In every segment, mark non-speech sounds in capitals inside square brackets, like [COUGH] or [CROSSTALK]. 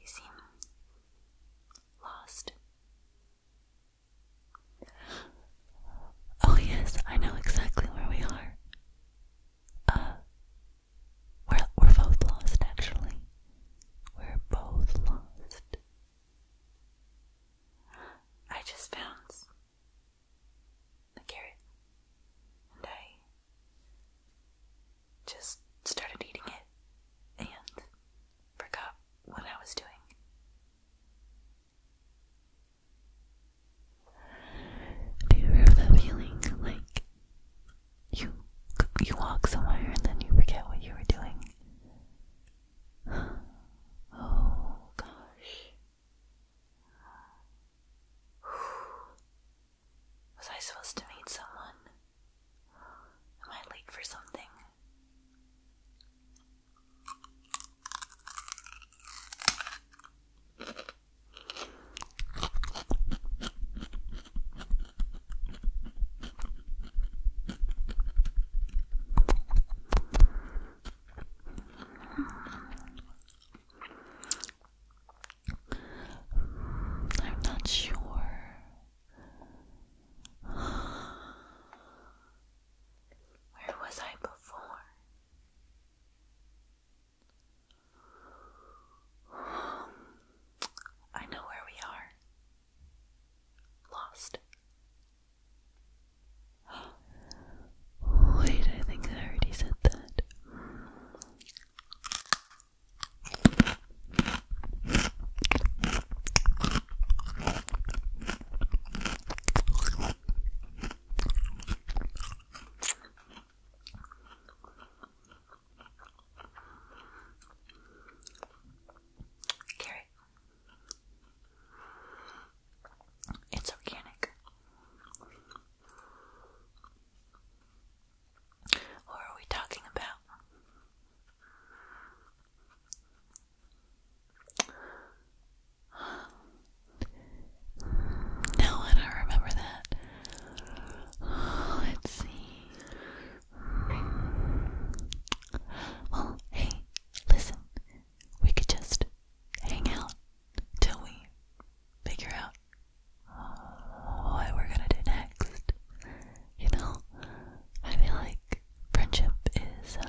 You seem lost. Oh, yes, I know exactly where we are. Uh, we're, we're both lost, actually. We're both lost. I just found the carrot, and just started eating it and forgot what I was doing. Do you ever that feeling like you you walk somewhere and then you forget what you were doing? [GASPS] Oh gosh. Was I supposed to meet someone? Am I late for something? I'm not sure. Where was I before? I know where we are. Lost. Wait, I think I already said that. Carrot. It's organic. What are we talking about? No, I don't remember that. let's see. Well, hey, listen. We could just hang out till we figure out what we're gonna do next. You know, I feel like friendship is uh,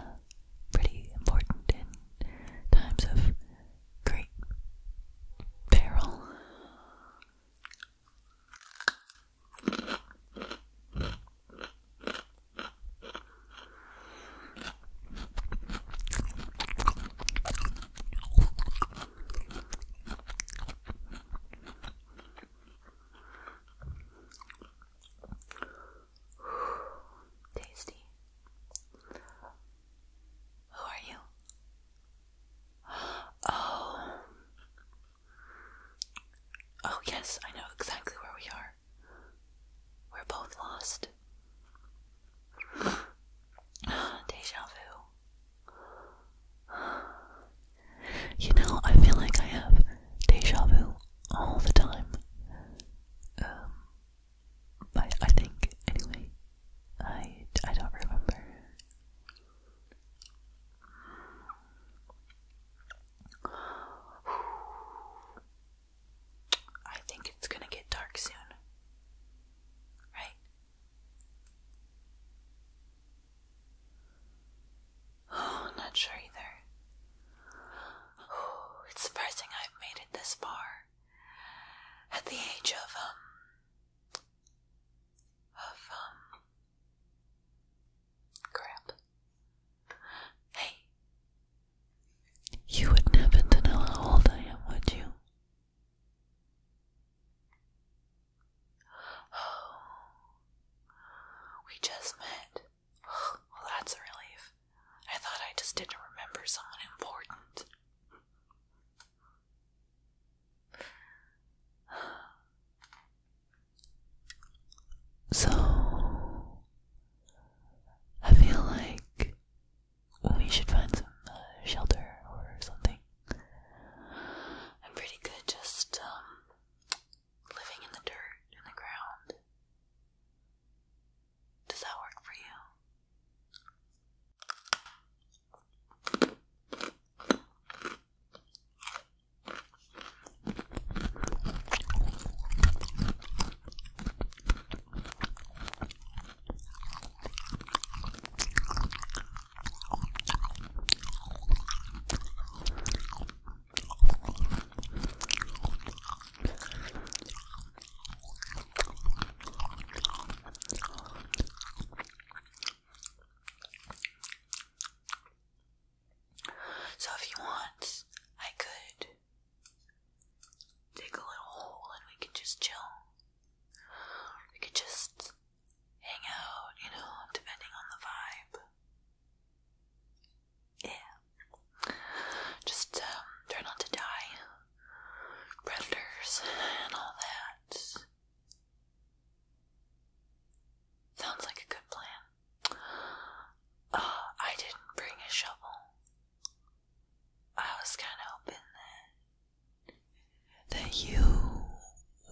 pretty important in times of great peril. Tasty. Who are you? Oh. Oh, yes, I know exactly where we are. We're both lost. [GASPS] Deja vu. You know, I feel like I have deja vu all the time. Um, but I think, anyway, I, I don't remember. I think it's gonna get dark soon. Right? Oh, [SIGHS] not sure either. it's surprising I've made it this far. At the age of, um, of, um, crap. Hey, you would never know how old I am, would you? Oh, [SIGHS] we just met. [SIGHS] well, that's a relief. I thought I just didn't remember someone important. [SIGHS] So, I feel like we should find some uh, shelter or something. I'm pretty good just um, living in the dirt, in the ground. Does that work for you? So, if you want, I could dig a little hole and we can just chill. We could just hang out, you know, depending on the vibe. Yeah. Just um, try not to die. Predators and all that. Sounds like a good plan. Uh, I didn't bring a shovel. I was kind of hoping that that you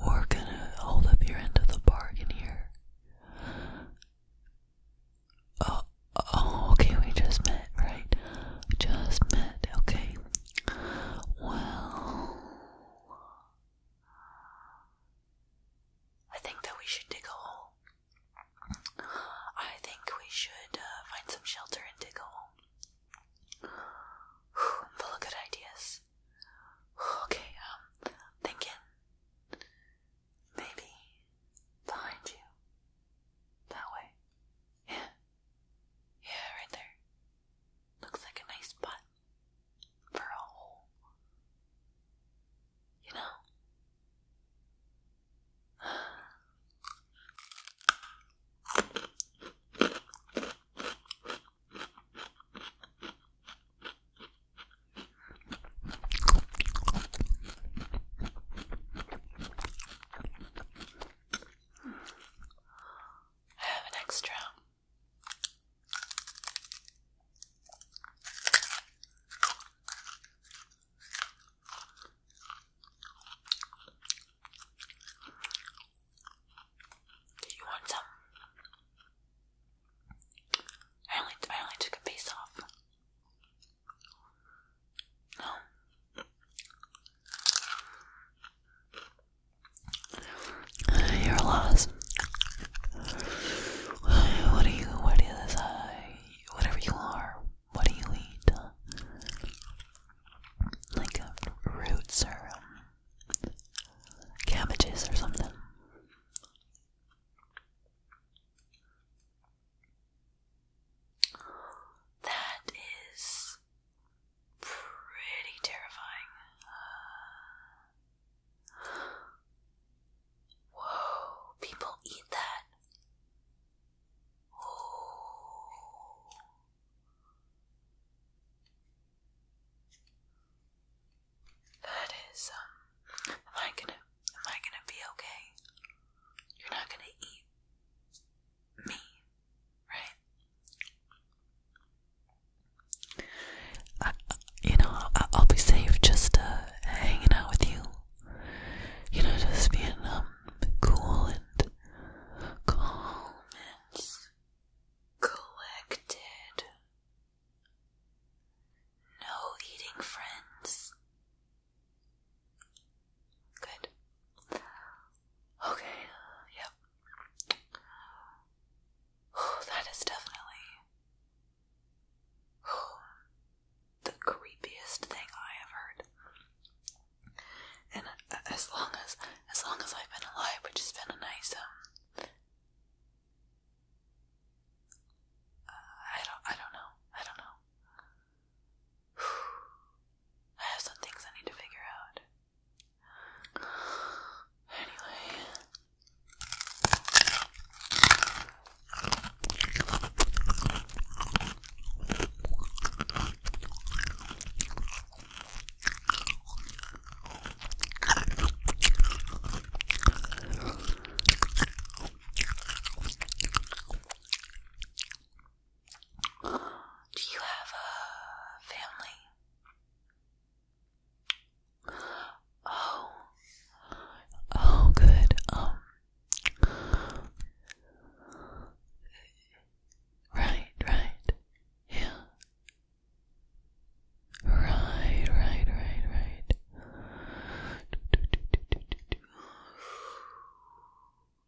were gonna hold up your end of the bargain here. Oh, oh, okay, we just met, right? just met, okay. Well, I think that we should dig a hole. I think we should uh, find some shelter and dig a hole. full of good ideas. Whew, okay, um, thinking maybe behind you. That way. Yeah. Yeah, right there. Looks like a nice spot for a hole. You know? I have an extra you want some? I only I only took a piece off. No. you're lost. Uh, what are you? What is this? whatever you are. What do you eat? Like roots or cabbages or something. That is pretty terrifying. whoa, people eat that. That is, um, am I gonna, am I gonna be okay? You're not gonna eat me, right? you know, I'll, be safe just, uh, hanging out with you you know, just being um cool and calm and collected. No eating friends. Good. Okay, yep. Oh, that is definitely the creepiest thing I have heard. And as long as as long as I've been alive, which has been a nice um uh, I don't I don't know. I don't know. [SIGHS] I have some things I need to figure out. [SIGHS] Anyway, do you have a family? Oh, oh, good. Um, Right, right. Yeah. Right, right, right, right.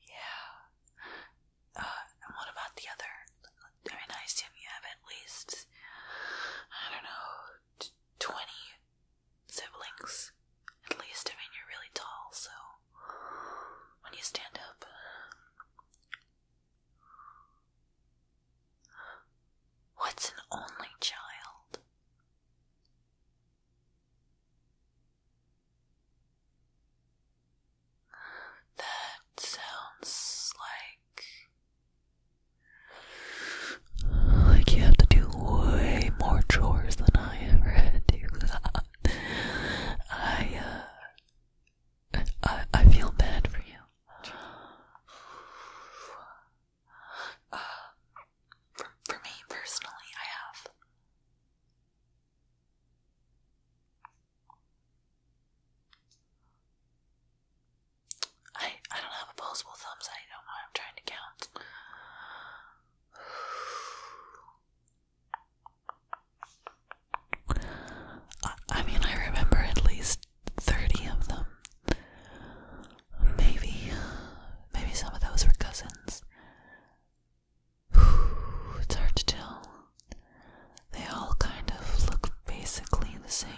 Yeah. Uh, what about the other? I mean, I you have at least, I don't know, twenty siblings, at least. I mean, you're really tall, so when you stand up. What's an only child? That sounds like like, you have to do way more chores than I ever had to. [LAUGHS] I, uh, I, I feel bad for you. [SIGHS] Uh, for, for me personally, I have. I I don't have opposable thumbs. I don't know. I'm trying to count. I, mean, I remember at least thirty of them. Maybe, maybe some of those were cousins. It's hard to tell. They all kind of look basically the same.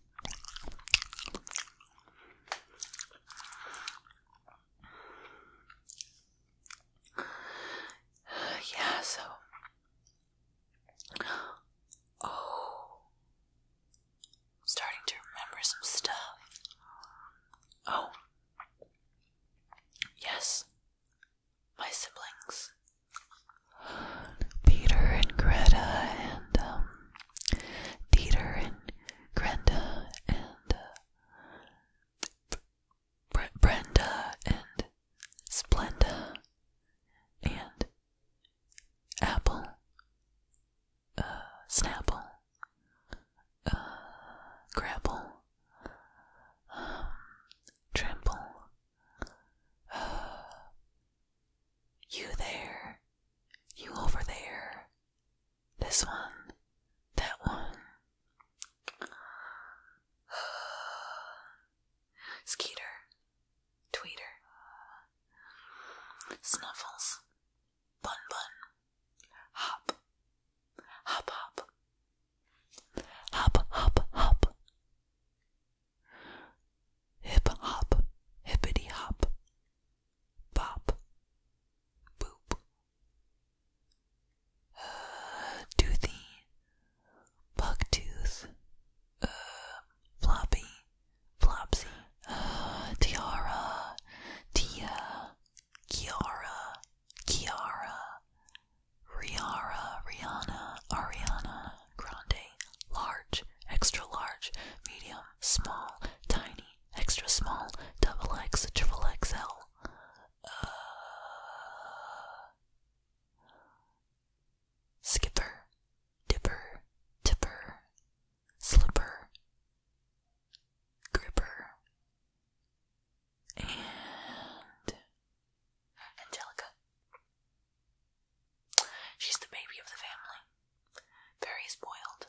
[SIGHS] yeah, so oh, starting to remember some stuff. Oh, yes, my siblings Peter and Greta and um, Peter and Grenda and uh, Brenda and Splenda and Apple, uh, Snapple, uh, Grapple, um, Trample. [SIGHS] You there, you over there, this one, that one. [SIGHS] Skeeter, Tweeter, Snuffles, Bun Bun, Hop, Hop Hop, Hop Hop Hop, Hip hop, hippity hop, bop, boop. Uh, toothy, bucktooth, uh, floppy, flopsy, uh, tiara, tia, kiara, kiara, riara, rihanna, ariana, grande, large, extra large, medium, small, tiny, extra small, double X, triple XL. Uh, skipper, dipper, tipper, slipper, gripper, and Angelica. She's the baby of the family. Very spoiled.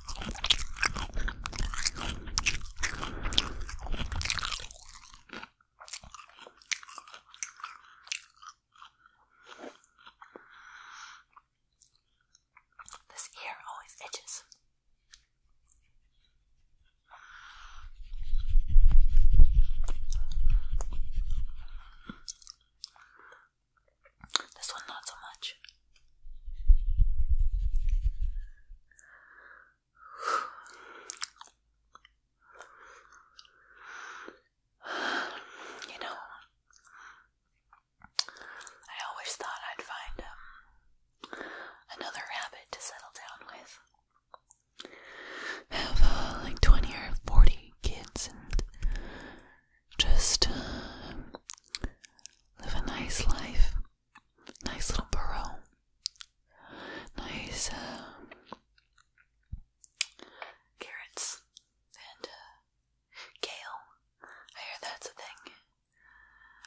This ear always itches. This one, not so much. You know, I always thought I'd find um, another rabbit to settle down with. Have uh, like 20 or 40 kids and just uh, live a nice life nice little burrow. Nice uh, carrots and uh, kale. I hear that's a thing.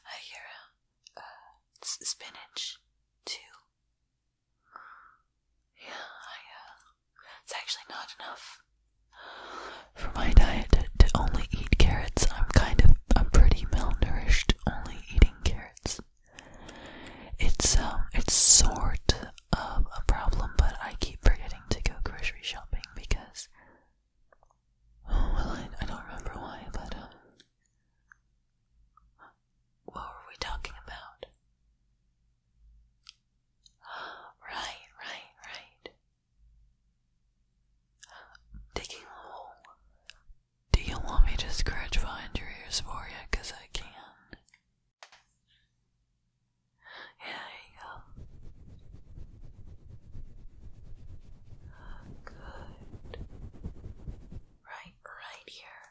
I hear uh, spinach too. Yeah, uh, it's actually not enough. For my diet to, only eat carrots, I'm kind of I'm pretty malnourished only eating carrots. It's um it's sort of a problem, but I keep forgetting to go grocery shopping because oh well I, I don't remember why, but um what were we talking about? [GASPS] Right, right, right. Digging a hole. Do you want me to scratch behind your ears for you? Because I can. Yeah, there you go. Good. Right, right here.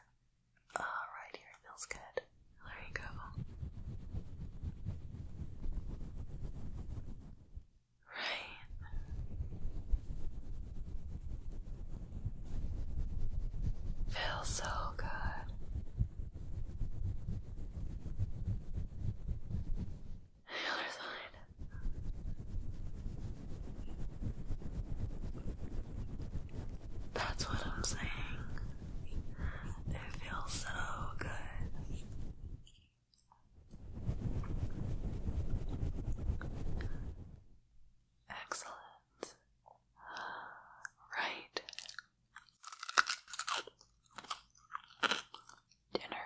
Ah, right here feels good. There you go. Right. Feels so good. The other side. That's what I'm saying. It feels so good. Excellent. Right. Dinner.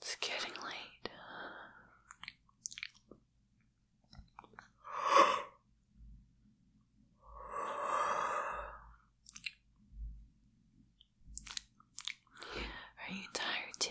It's getting late. Are you tired too?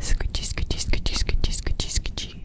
Скучи, скучи, скучи, скучи, скучи, скучи.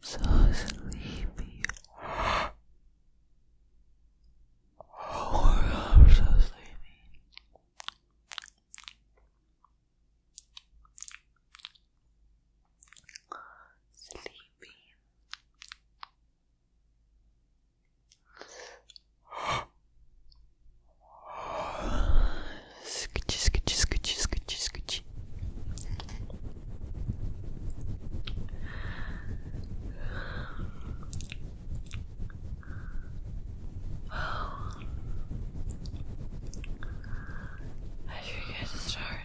so sleepy. Oh, I'm so sleepy. Sleepy. Scoochie, scoochie, scoochie, scoochie, much. Well, I should get started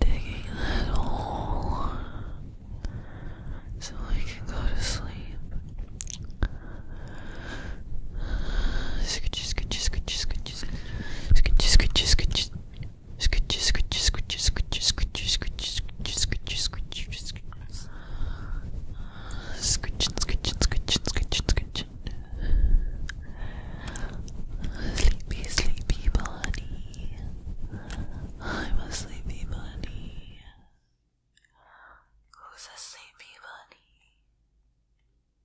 digging that hole so I can go to sleep. Sleepy, sleepy bunny. I'm a sleepy bunny. Who's a sleepy bunny?